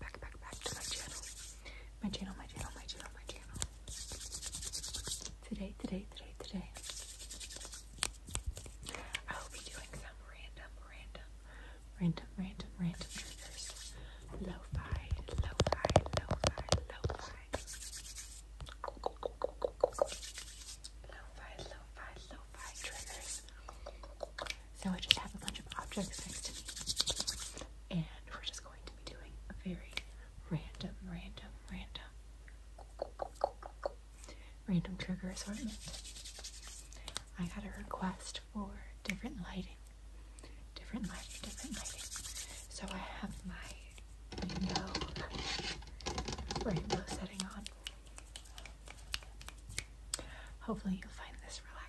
back, back, back, back to my channel. My channel, my channel, my channel, my channel. Today, today, today, today. I will be doing some random, random, random, random, random triggers. Lo-fi, lo-fi, lo-fi, lo-fi. Lo-fi, lo-fi, lo-fi triggers. So I just have a bunch of objects next to me. And we're just going to be doing a very random, random, random, random trigger assortment. I got a request for different lighting, different lighting, different lighting. So I have my rainbow setting on. Hopefully, you'll find this relaxing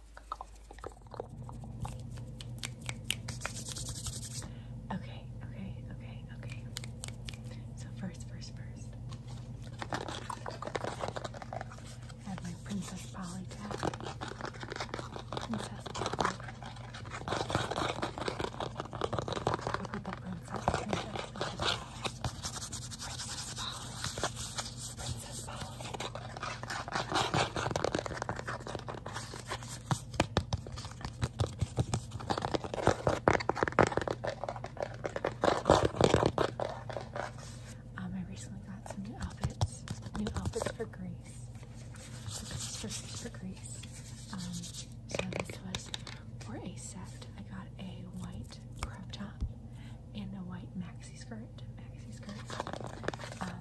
Okay, okay, okay, okay. So first, first, first. I have my Princess Polly tag. Princess Look at the princess, Princess Um, I recently got some new outfits, new outfits for Grace. This for, for Grace. Um, so this was for a set. I got a white crop top and a white maxi skirt. Maxi skirt. Um,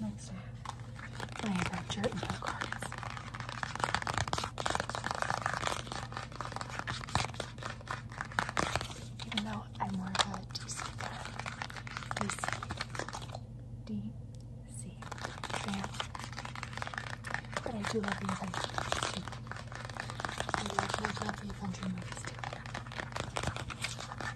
Nice to have. I have that shirt and Even though I'm more of a DC fan. But I do love the adventure I love, love, love the adventure movies too.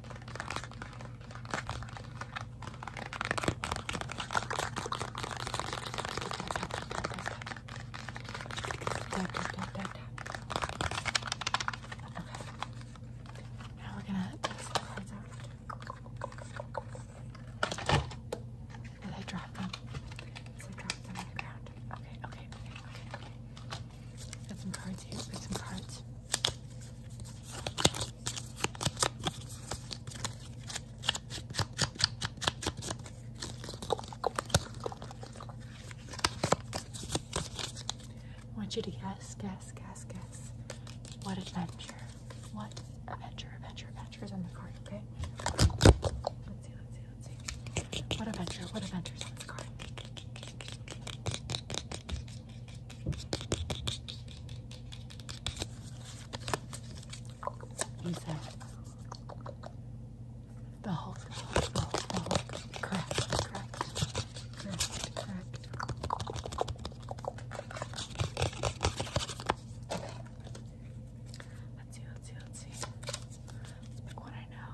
Tap, tap, tap, tap, tap. Okay. Now we're gonna take some cards out. Did I drop them? Did I drop them on the ground? Okay, okay, okay, okay, okay. Got some cards here. Got some cards. I want you to guess, guess, guess, guess. What adventure? What adventure, adventure, adventure is on the card, okay? Let's see, let's see, let's see. What adventure, what adventure is on the card? What's that? The Hulk. The Hulk. Crack. Crack. Crack. Crack. Let's see. Let's see. Let's see. Let's I know. One I know.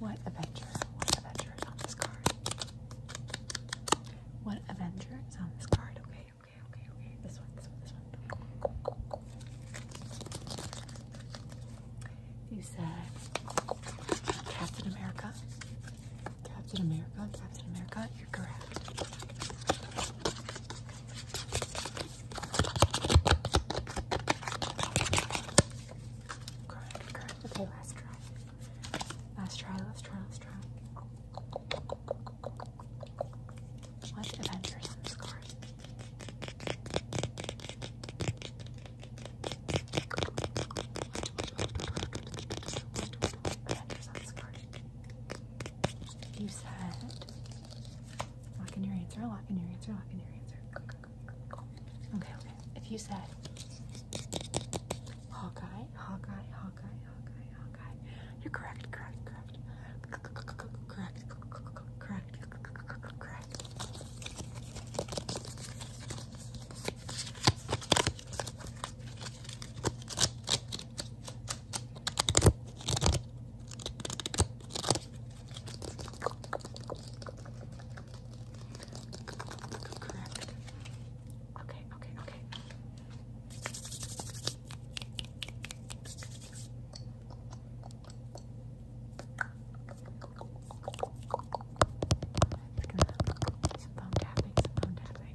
What Avenger? What Avenger is on this card? What Avenger is on this card? Okay, okay, okay, okay. This one, this one, this one. You said Captain America. Captain America, Captain America, you're correct. Cry, cry. Okay, last try. Last try, last try, last try. What Avengers in this card? You said Lock in your answer, lock in your answer, lock in your answer. Okay, okay. If you said Hawkeye, Hawkeye, Hawkeye, Hawkeye, Hawkeye, you're correct, correct, correct. Correct, correct, correct, correct. Correct. Okay, okay, okay. It's gonna some phone tapping, some phone tapping.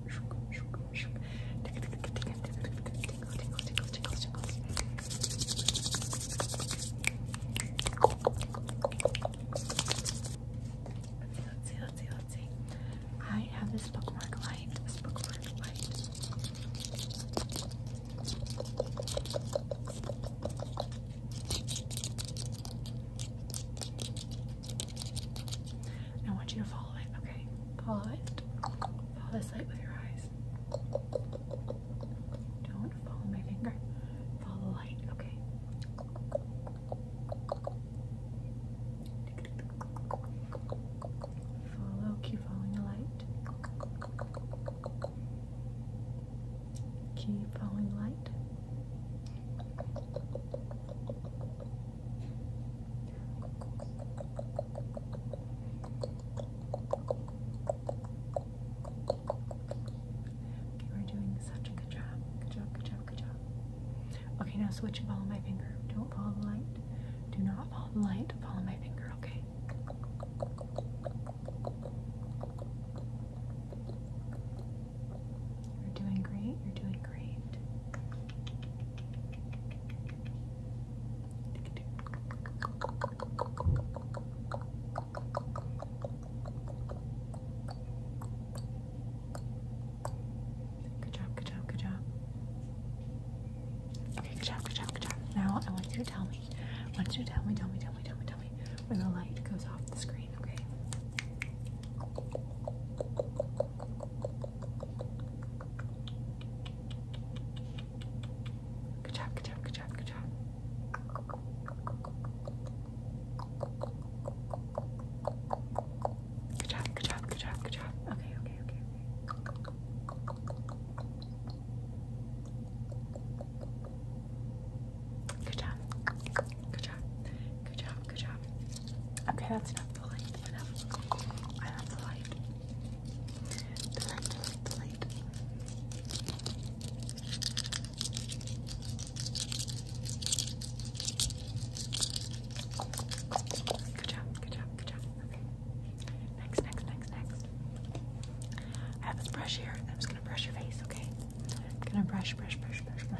Let's see, let's see, let's see. I have this bookmark light. This bookmark light. I want you to follow it, okay? Follow it. Follow this light with your eyes. Don't follow my finger. Follow the light, okay? Follow, keep following the light. Keep following the light. You are doing such a good job. Good job, good job, good job. Okay, now switch and follow my finger. Don't follow the light. Do not follow the light. Follow my finger, okay? You're doing great. You're doing great. Good job, good job, good job. Okay, good job, good job, good job. Now I want you to tell me. I want you to tell me, tell me, tell me, tell me, tell me when the light goes off the screen, okay? Good job, good job, good job, good job. Good job, good job, good job, good job. Okay, okay, okay, okay. Good job. Good job. Good job. Good job. Okay, that's enough have the light. I have, I have the light. The light, the light, the light. Good job, good job, good job. Okay. Next, next, next, next. I have this brush here. I'm just gonna brush your face, okay? I'm gonna brush, brush, brush, brush, brush,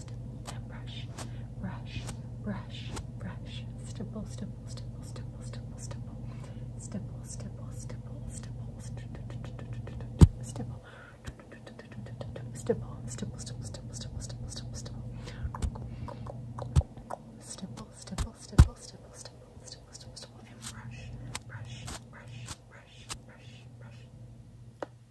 next. Now brush, brush, brush, brush. Stipple, stipple, stipple, stipple, stipple, stipple. Stipple, stipple, stipple, stipple, stipple. Stipple, stipple, stipple, stipple, stipple, stipple, stipple, stipple. Stipple, stipple, stipple, stipple, stipple, stipple, stipple, stipple, and brush, brush, brush, brush, brush, brush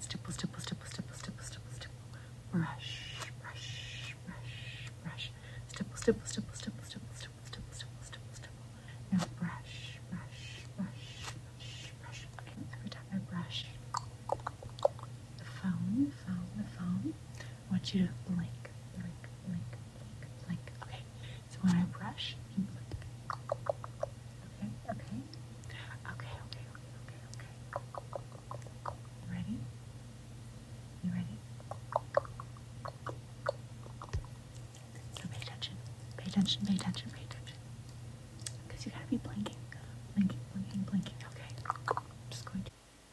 Stipple, stipple, stipple, stipple, stipple, stipple, stipple. Brush, brush, brush, brush. Stipple, stipple, stipple, stipple, stipple, stipple, stipple, stipple, stipple, stipple. Now brush, brush, brush, brush, brush. Every time I brush the phone, the phone, the phone, I want you to blink, blink, blink, blink. Okay, so when I brush, Okay, okay, okay, okay, okay, okay, ready? You ready? pay attention, pay attention, pay attention, pay attention. Because you gotta be blinking, blinking, blinking, blinking. Okay, I'm just going to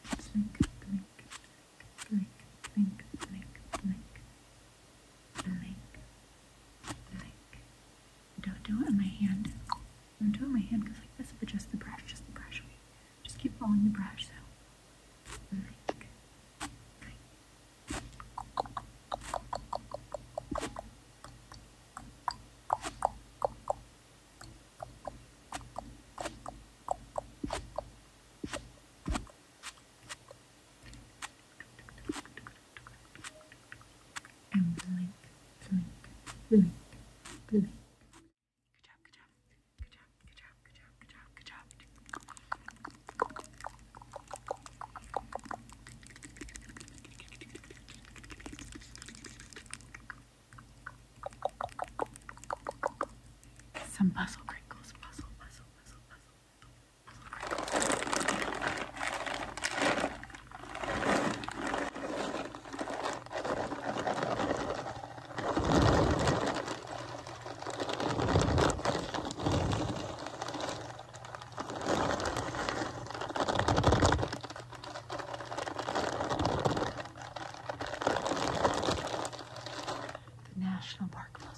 blink, blink, blink, blink, blink, blink, don't do it on my hand. Don't do it on my hand because like this, but just the brush, just the brush. Just keep following the brush, so. And blink, blink, blink, Good job, good job. Good job, good job, good job, good job, good job. Some puzzle crinkles, puzzle, puzzle, puzzle, puzzle. The National Park Fund.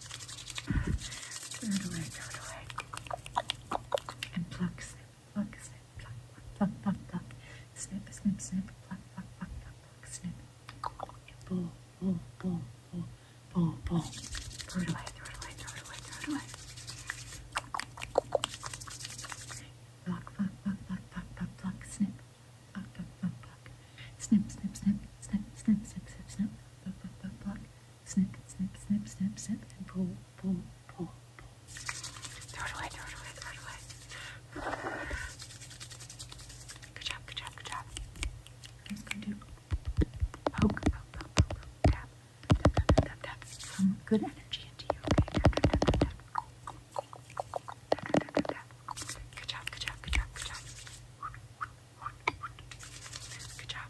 Throw it away, throw it away. And pluck, snip, pluck, snip, pluck, pluck, pluck, pluck, pluck. Snip, snip, snip, pluck, pluck, pluck, pluck, pluck, snip. And pull, pull, pull, pull, pull, pull. Throw it away, throw it away, throw it away, throw it away. Pluck, pluck, pluck, pluck, pluck, pluck, pluck, snip. Pluck, pluck, pluck, pluck. Snip, snip, snip, snip, snip, snip, snip, snip. Pluck, pluck, pluck, pluck snip, snip, snip, snip, snip, and pull, pull, pull, pull. Throw it away, throw it away, throw it away. Good job, good job, good job. I'm gonna do poke, poke, poke, poke, tap, tap, tap, tap, Some good energy into you, Good job, good job, good job, good job. Good job.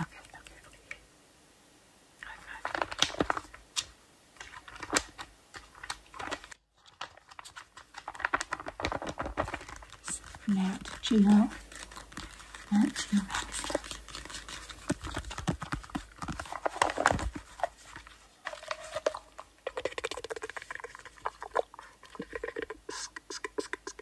Okay, okay, okay. High five. Now, did you know that you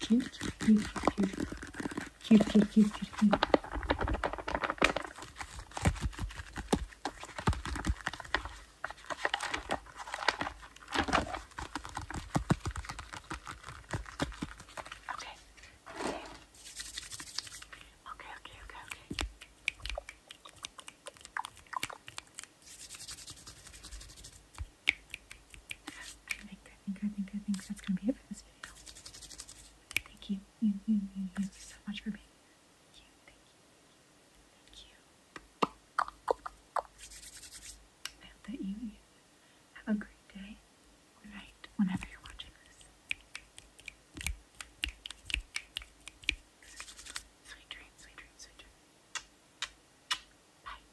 Cute, cute, cute, cute. Cute, cute, cute, cute, cute. Okay. Okay. Okay, okay, okay, okay. I think, I think, I think, I think that's gonna be it for this video. Thank you, you, you, you, so much for being Thank you, thank you, thank you. I hope that you, you have a great day or whenever you're watching this. Sweet dreams, sweet dreams, sweet dreams. Bye.